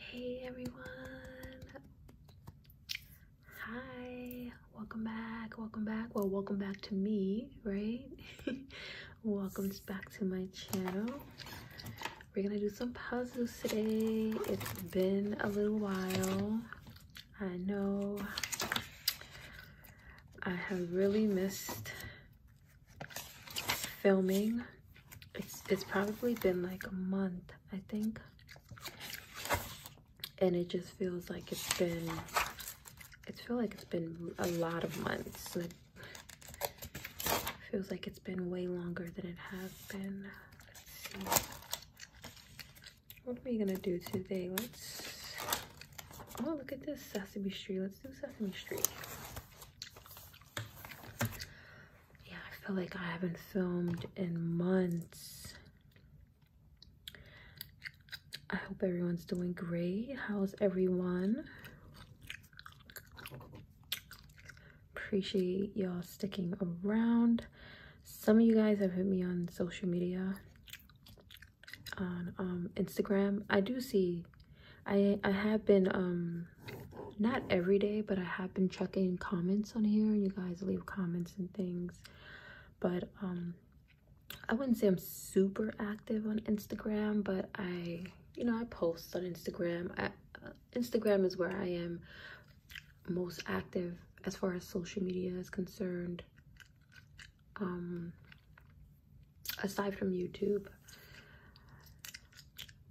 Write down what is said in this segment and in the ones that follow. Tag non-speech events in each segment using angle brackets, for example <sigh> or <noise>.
Hey everyone. Hi. Welcome back. Welcome back. Well, welcome back to me, right? <laughs> welcome back to my channel. We're going to do some puzzles today. It's been a little while. I know I have really missed filming. It's, it's probably been like a month, I think. And it just feels like it's been, it feels like it's been a lot of months. It feels like it's been way longer than it has been. What are we gonna do today? Let's, oh, look at this, Sesame Street. Let's do Sesame Street. Yeah, I feel like I haven't filmed in months. I hope everyone's doing great. How's everyone? Appreciate y'all sticking around. Some of you guys have hit me on social media, on um, Instagram. I do see I I have been um not every day, but I have been checking comments on here you guys leave comments and things. But um I wouldn't say I'm super active on Instagram, but I you know, I post on Instagram. Uh, Instagram is where I am most active as far as social media is concerned. Um aside from YouTube.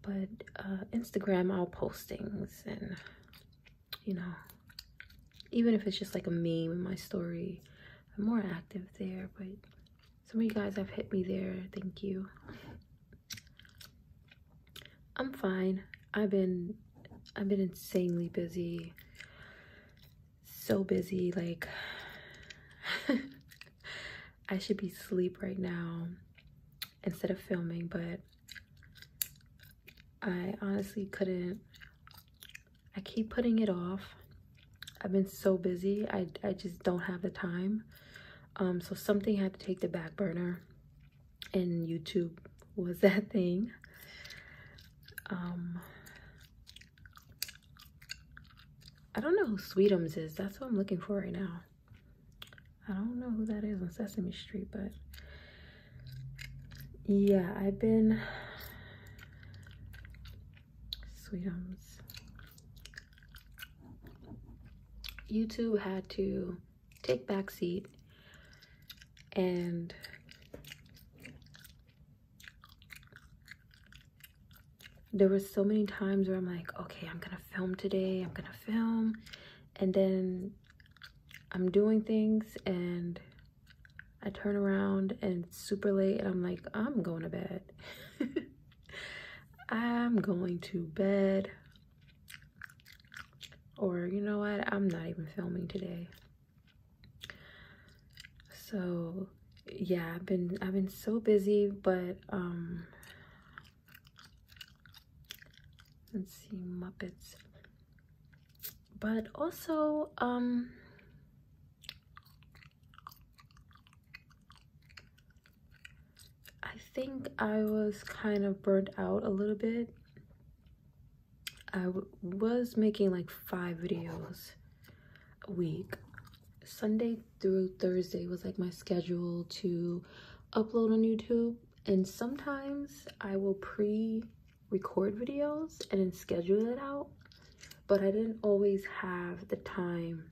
But uh, Instagram, all postings and, you know, even if it's just like a meme in my story, I'm more active there. But some of you guys have hit me there. Thank you. I'm fine. I've been I've been insanely busy. So busy, like <laughs> I should be sleep right now instead of filming, but I honestly couldn't. I keep putting it off. I've been so busy. I, I just don't have the time. Um, so something had to take the back burner and YouTube was <laughs> that thing. Um, I don't know who Sweetums is. That's what I'm looking for right now. I don't know who that is on Sesame Street, but yeah, I've been sweetums. YouTube had to take back seat and there were so many times where I'm like, okay, I'm gonna film today, I'm gonna film, and then I'm doing things and I turn around and it's super late and I'm like, I'm going to bed. <laughs> I'm going to bed. Or you know what, I'm not even filming today. So yeah, I've been I've been so busy, but um let's see Muppets. But also um I think I was kind of burnt out a little bit. I was making like five videos a week Sunday through Thursday was like my schedule to upload on YouTube. And sometimes I will pre-record videos and then schedule it out. But I didn't always have the time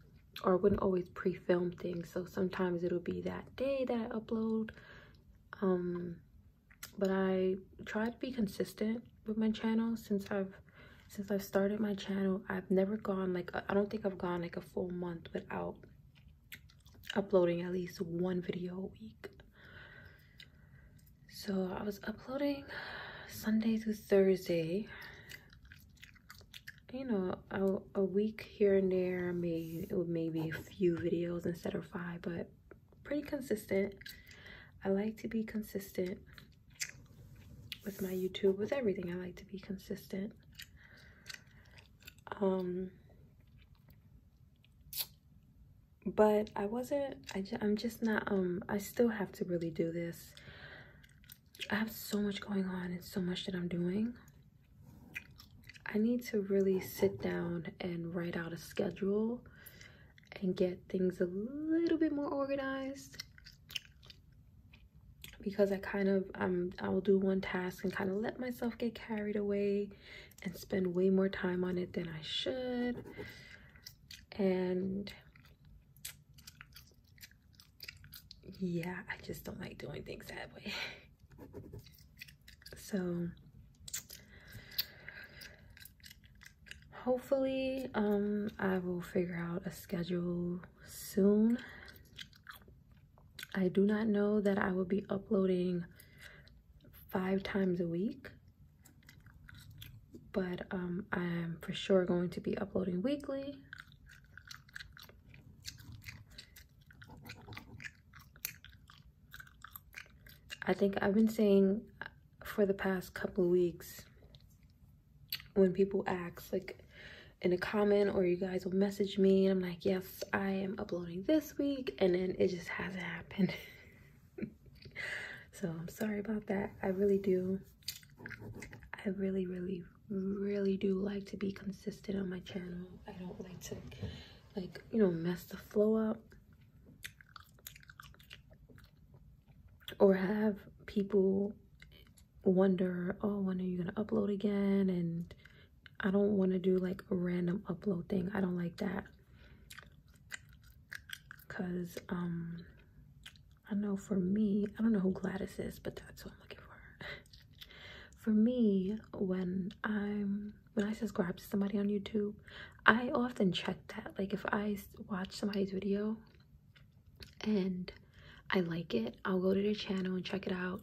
or wouldn't always pre-film things. So sometimes it'll be that day that I upload. Um, but I try to be consistent with my channel since I've since I've started my channel, I've never gone like, I don't think I've gone like a full month without uploading at least one video a week. So I was uploading Sunday through Thursday. You know, a, week here and there, maybe maybe a few videos instead of five, but pretty consistent. I like to be consistent with my YouTube, with everything. I like to be consistent. Um, but I wasn't, I just, I'm just not, um, I still have to really do this. I have so much going on and so much that I'm doing. I need to really sit down and write out a schedule and get things a little bit more organized because I kind of um I'll do one task and kind of let myself get carried away and spend way more time on it than I should and yeah I just don't like doing things that way <laughs> so hopefully um I will figure out a schedule soon. I do not know that I will be uploading five times a week, but um, I am for sure going to be uploading weekly. I think I've been saying for the past couple of weeks when people ask like in a comment or you guys will message me I'm like, yes, I am uploading this week and then it just hasn't happened. <laughs> so I'm sorry about that. I really do. I really, really, really do like to be consistent on my channel. I don't like to like, you know, mess the flow up or have people wonder, oh, when are you going to upload again? And I don't want to do like a random upload thing. I don't like that. Because um, I know for me, I don't know who Gladys is, but that's what I'm looking for. <laughs> for me, when I'm when I subscribe to somebody on YouTube, I often check that. Like if I watch somebody's video and I like it, I'll go to their channel and check it out.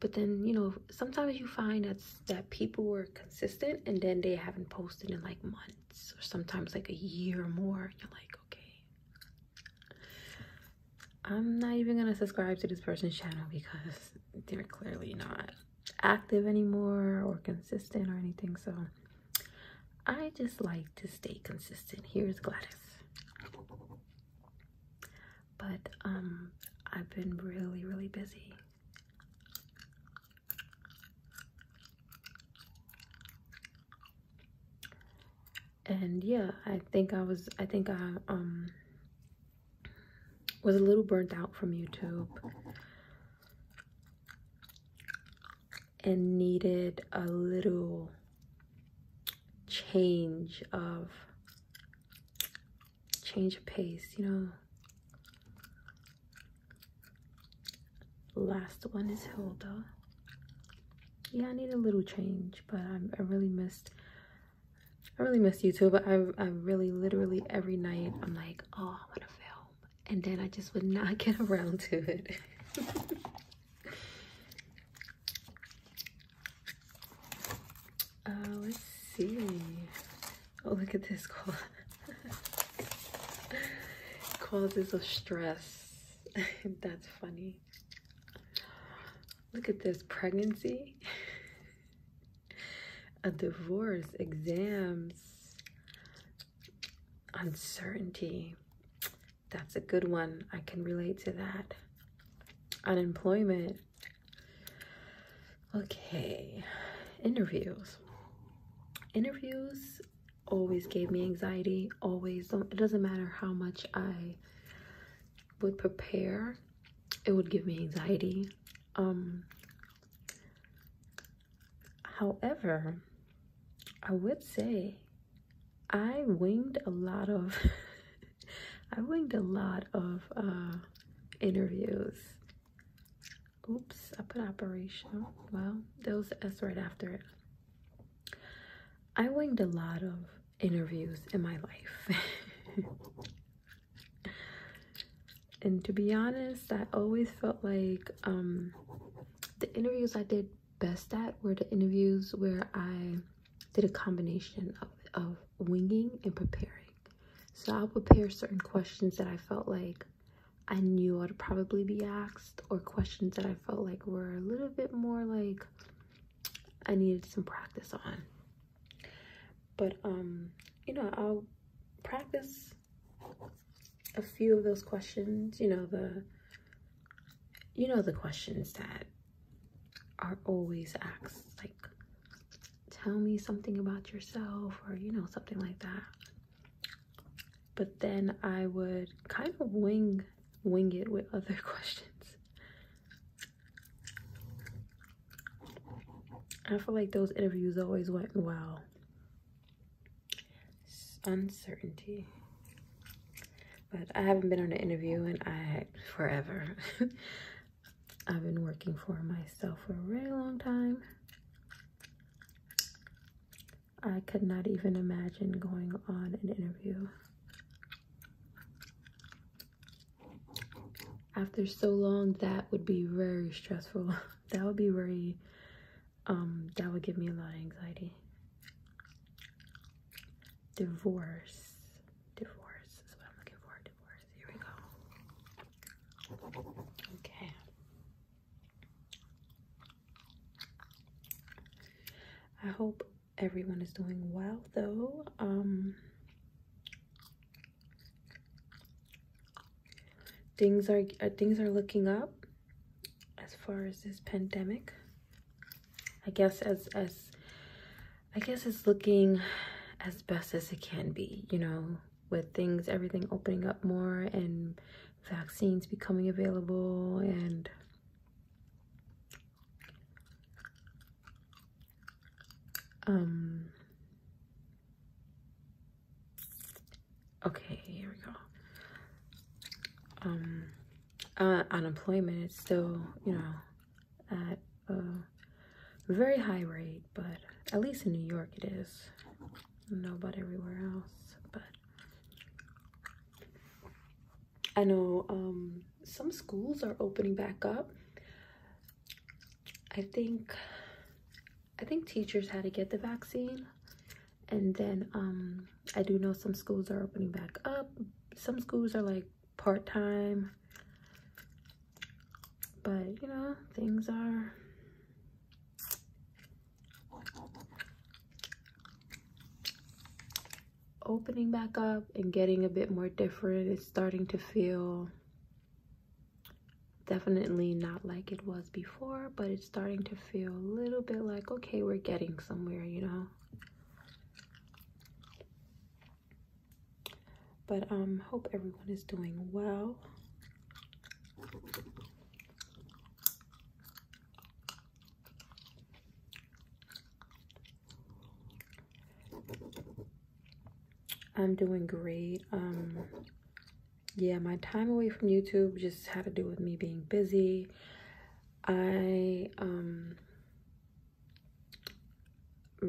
But then, you know, sometimes you find that's, that people were consistent and then they haven't posted in like months or sometimes like a year or more. You're like, okay, I'm not even going to subscribe to this person's channel because they're clearly not active anymore or consistent or anything. So I just like to stay consistent. Here's Gladys. But um I've been really really busy. And yeah, I think I was I think I um was a little burnt out from YouTube and needed a little change of change of pace, you know. Last one is Hilda. Yeah, I need a little change, but I, I really missed I really miss YouTube. I, I really, literally every night, I'm like, oh, I want to film. And then I just would not <laughs> get around to it. <laughs> Uh, let's see. Oh, look at this cause. Causes of stress. <laughs> That's funny. Look at this pregnancy, a divorce, exams, uncertainty, that's a good one. I can relate to that. Unemployment. Okay, interviews. Interviews always gave me anxiety, always. It doesn't matter how much I would prepare, it would give me anxiety. Um, however, I would say I winged a lot of <laughs> I winged a lot of uh, interviews. Oops, I put operation. Well, those was S right after it. I winged a lot of interviews in my life. <laughs> and to be honest, I always felt like um, the interviews I did best at were the interviews where I did a combination of, of winging and preparing. So I'll prepare certain questions that I felt like I knew I'd probably be asked or questions that I felt like were a little bit more like I needed some practice on. But um, you know, I'll practice a few of those questions, you know, the you know the questions that are always asked like tell me something about yourself or you know something like that but then i would kind of wing wing it with <laughs> other questions i feel like those interviews always went well uncertainty. But I haven't been on an interview in I forever. <laughs> I've been working for myself for a very long time. I could not even imagine going on an interview. After so long, that would be very stressful. <laughs> that would be very um, that would give me a lot of anxiety. Divorce. Divorce is what I'm looking for. Divorce. Here we go. Okay. I hope everyone is doing well though. Um, things are uh, things are looking up as far as this pandemic. I guess as as I guess it's looking as best as it can be, you know, with things everything opening up more and vaccines becoming available and um, okay here we go um uh, unemployment is still you know at a very high rate but at least in new york it is I don't know about everywhere else but i know um, some schools are opening back up i think i think teachers had to get the vaccine and then um, i do know some schools are opening back up some schools are like part-time but you know things are opening back up and getting a bit more different it's starting to feel definitely not like it was before but it starting to feel a little bit like, okay, we're getting somewhere, you know? But um, hope everyone is doing well. I'm doing great. Um, yeah, my time away from YouTube just had to do with me being busy I am um,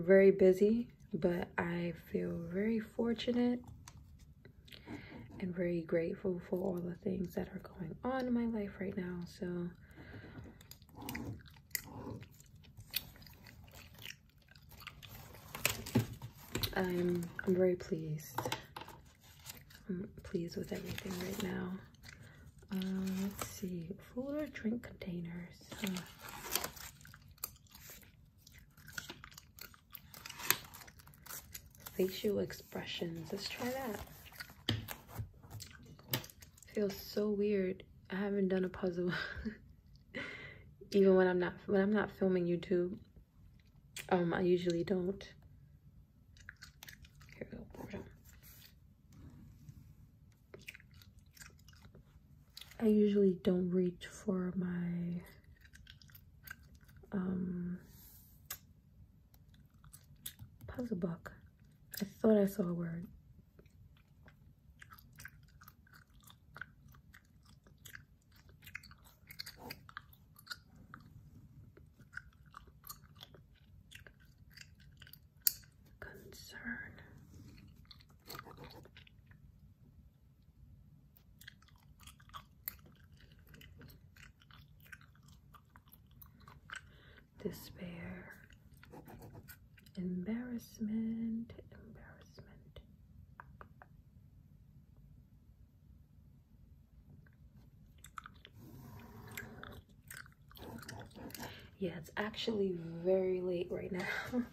very busy, but I feel very fortunate and very grateful for all the things that are going on in my life right now. So I'm I'm very pleased I'm pleased with everything right now. Uh, let's see, fuller drink containers. facial expressions. Let's try that. Feels so weird. I haven't done a puzzle. <laughs> Even when I'm not when I'm not filming YouTube, um, I usually don't here we go, I usually don't reach for my um, puzzle book. I thought I saw a word concern. Despair, embarrassment, embarrassment, yeah, it's actually very late right now.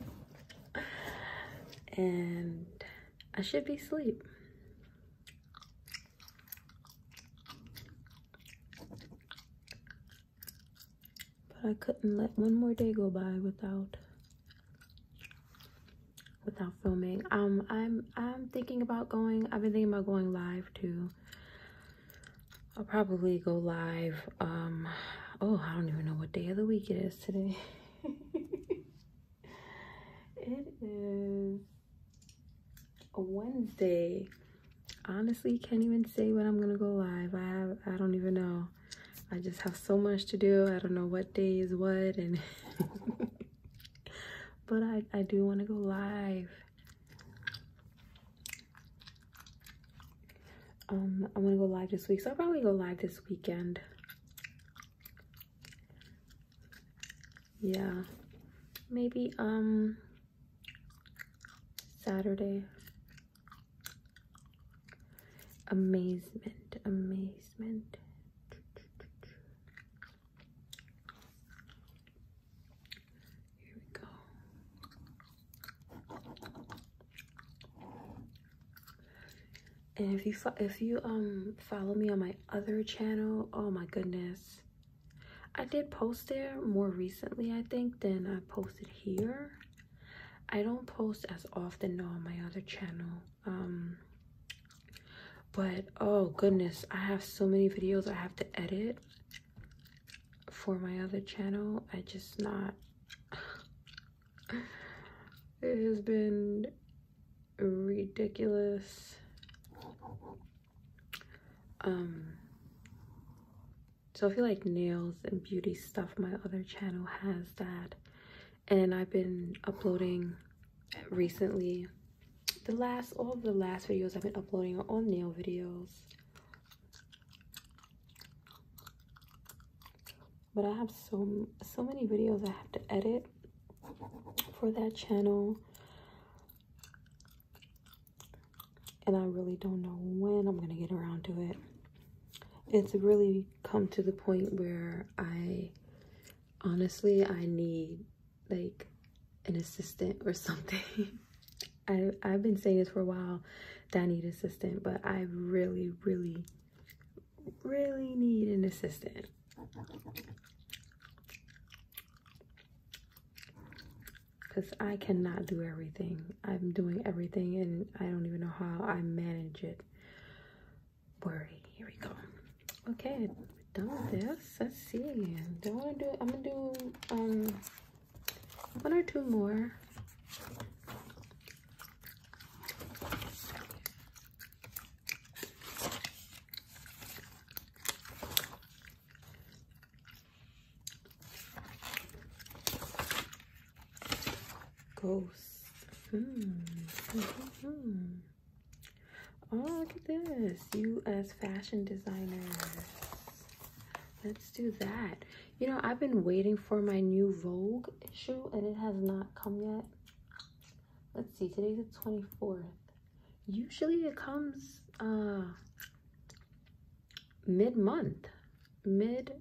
<laughs> and I should be sleep. But I couldn't let one more day go by without without filming. Um, I'm I'm thinking about going. I've been thinking about going live too. I'll probably go live. Um, oh, I don't even know what day of the week it is today. <laughs> it is a Wednesday. Honestly, can't even say when I'm gonna go live. I I don't even know. I just have so much to do. I don't know what day is what and <laughs> but I, I do want to go live. Um, I want to go live this week, so I'll probably go live this weekend. Yeah, maybe um Saturday. Amazement, amazement. Here we go. And if you if you um follow me on my other channel, oh my goodness. I did post there more recently, I think, than I posted here. I don't post as often though on my other channel. Um but oh goodness, I have so many videos I have to edit for my other channel. I just not. <sighs> it has been ridiculous. Um, so I feel like nails and beauty stuff, my other channel has that and I've been uploading recently. The last, all of the last videos I've been uploading are all nail videos. But I have so, so many videos I have to edit for that channel. And I really don't know when I'm going to get around to it. It's really come to the point where I honestly, I need like an assistant or something. <laughs> I, I've been saying this for a while that I need an assistant, but I really, really, really need an assistant. Because I cannot do everything. I'm doing everything and I don't even know how I manage it worry. Here we go. Okay, done with this. Let's see. Do not want to do? I'm gonna do um one or two more. Ghost. Hmm. Hmm, hmm, Oh, look at this. You as fashion designers. Let's do that. You know, I've been waiting for my new Vogue issue and it has not come yet. Let's see, today's the 24th. Usually it comes uh, mid-month. Mid,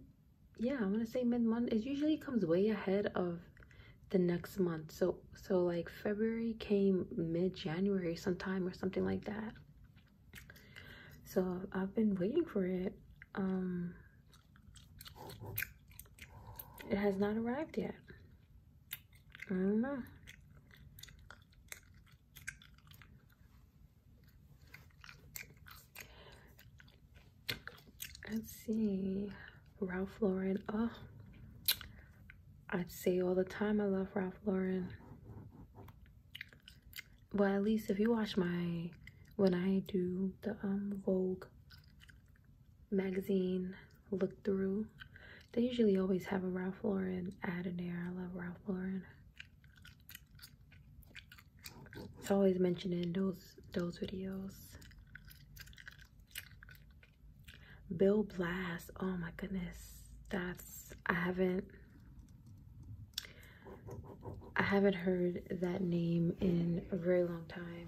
yeah, I want to say mid-month. It usually comes way ahead of the next month so so like february came mid-january sometime or something like that so i've been waiting for it um it has not arrived yet i don't know let's see Ralph Lauren. Oh, I say all the time I love Ralph Lauren. Well, at least if you watch my when I do the um Vogue magazine look through, they usually always have a Ralph Lauren ad in there. I love Ralph Lauren. It's always mentioned in those those videos. Bill Blast. Oh my goodness. That's I haven't I haven't heard that name in a very long time.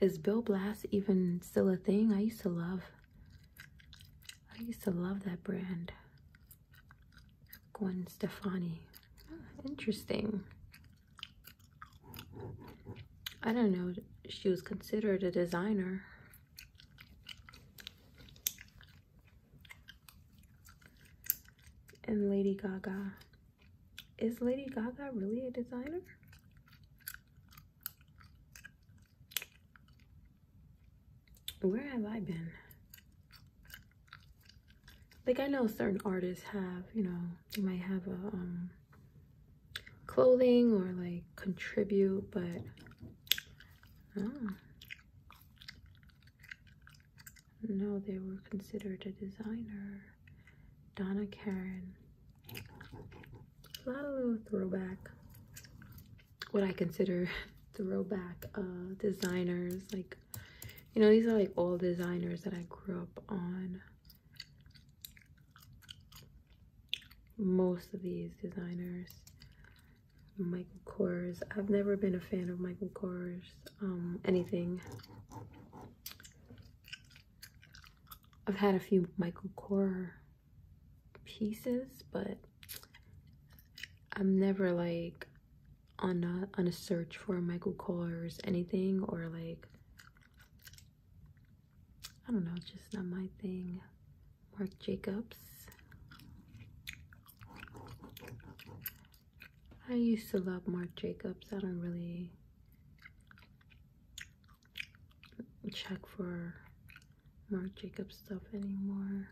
Is Bill Blast even still a thing? I used to love I used to love that brand. Gwen Stefani. interesting. I don't know. She was considered a designer. And Lady Gaga. Is Lady Gaga really a designer? Where have I been? like I know certain artists have, you know, they might have a um, clothing or like contribute, but oh. no, they were considered a designer. Donna Karen. A lot of little throwback, what I consider <laughs> throwback uh, designers like you know, these are like all designers that I grew up on. Most of these designers. Michael Kors. I've never been a fan of Michael Kors. Um, anything. I've had a few Michael Kors pieces, but I'm never like on a, on a search for Michael Kors anything or like I don't know, just not my thing. Marc Jacobs. I used to love Marc Jacobs. I don't really check for Marc Jacobs stuff anymore.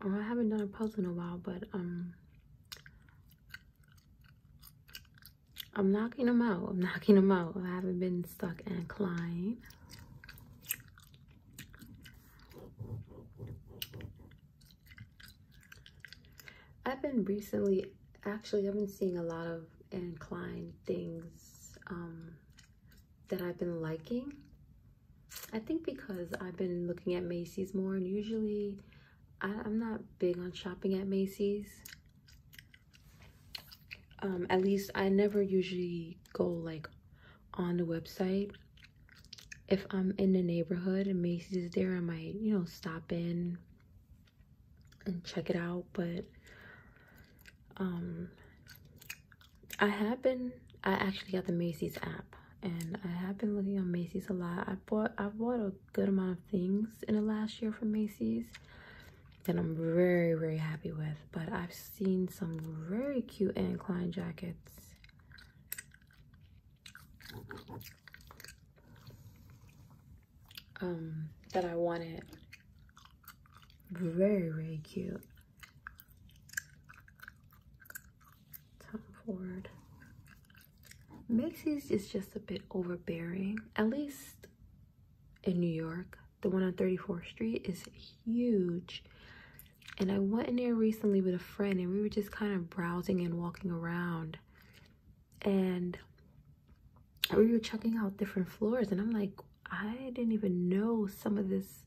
Oh, I haven't done a puzzle in a while, but um, I'm knocking them out. I'm <laughs> knocking them out. I haven't been stuck and Klein. I've been recently, actually, I've been seeing a lot of inclined things um, that I've been liking. I think because I've been looking at Macy's more, and usually I, am not big on shopping at Macy's. Um, at least I never usually go like on the website if I'm in the neighborhood and Macy's is there, I might, you know, stop in and check it out. But um, I have been, I actually got the Macy's app and I have been looking on Macy's a lot. I bought, I bought a good amount of things in the last year from Macy's that I'm very, very happy with. But I've seen some very cute Anne Klein jackets um, that I wanted. Very, very cute. Tom Ford. Macy's is just a bit overbearing, at least in New York. The one on 34th Street is huge. And I went in there recently with a friend and we were just kind of browsing and walking around and we were checking out different floors and i'm like i didn't even know some of this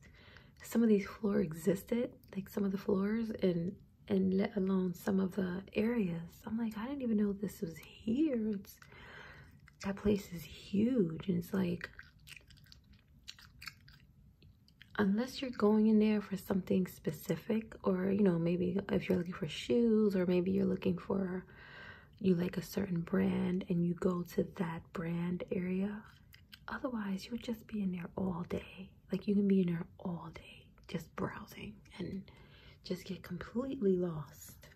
some of these floor existed like some of the floors and and let alone some of the areas i'm like i didn't even know this was here it's that place is huge and it's like unless you're going in there for something specific or you know maybe if you're looking for shoes or maybe you're looking for you like a certain brand and you go to that brand area otherwise you would just be in there all day like you can be in there all day just browsing and just get completely lost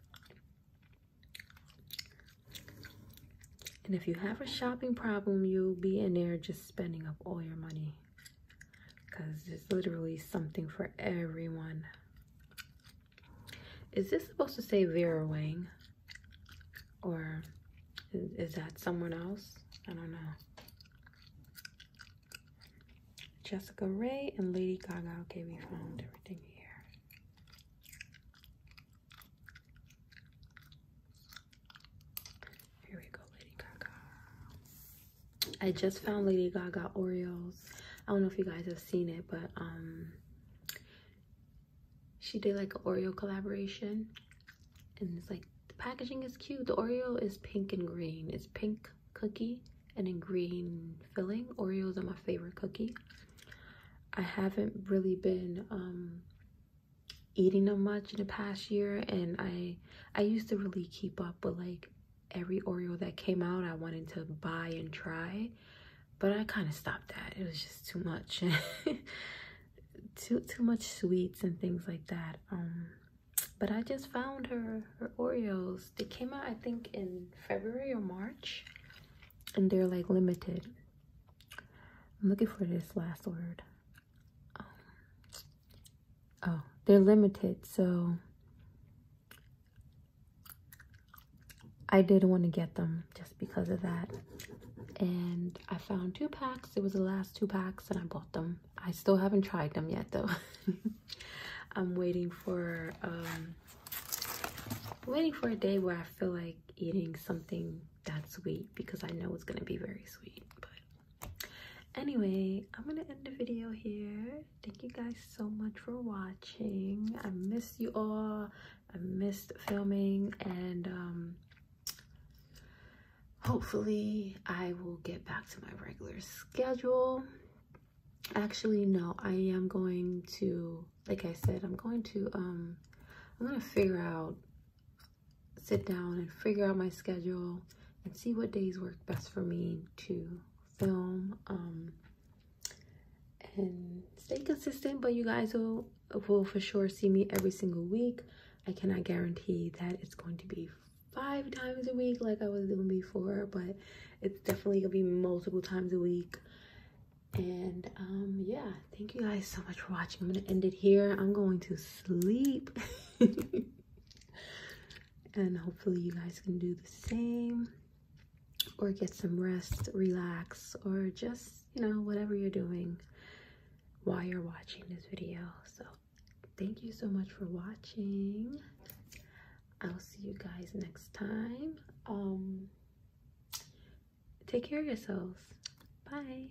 and if you have a shopping problem you'll be in there just spending up all your money because it's literally something for everyone. Is this supposed to say Vera Wang? Or is that someone else? I don't know. Jessica Ray and Lady Gaga. Okay, we found everything here. Here we go, Lady Gaga. I just found Lady Gaga Oreos. I don't know if you guys have seen it, but um, she did like an Oreo collaboration. And it's like, the packaging is cute. The Oreo is pink and green. It's pink cookie and in green filling. Oreos are my favorite cookie. I haven't really been um, eating them much in the past year and I I used to really keep up with like every Oreo that came out I wanted to buy and try but I kind of stopped that it was just too much <laughs> too too much sweets and things like that um but I just found her her Oreos they came out I think in February or March and they're like limited I'm looking for this last word um, oh, they're limited, so I didn't want to get them just because of that. And I found two packs. It was the last two packs and I bought them. I still haven't tried them yet though. <laughs> I'm waiting for um, waiting for a day where I feel like eating something that's sweet because I know it's gonna be very sweet. But anyway i'm gonna end the video here thank you guys so much for watching i miss you all i missed filming and um, hopefully i will get back to my regular schedule actually no i am going to like i said i'm going to um, i'm gonna figure out sit down and figure out my schedule and see what days work best for me to film um, and stay consistent. But you guys will, will for sure see me every single week. I cannot guarantee that it's going to be five times a week like I was doing before, but it's definitely gonna be multiple times a week. And um, yeah, thank you guys so much for watching. I'm gonna end it here. I'm going to sleep. <laughs> and hopefully you guys can do the same or get some rest relax or just you know whatever you're doing while you're watching this video so thank you so much for watching i'll see you guys next time um, take care of yourselves bye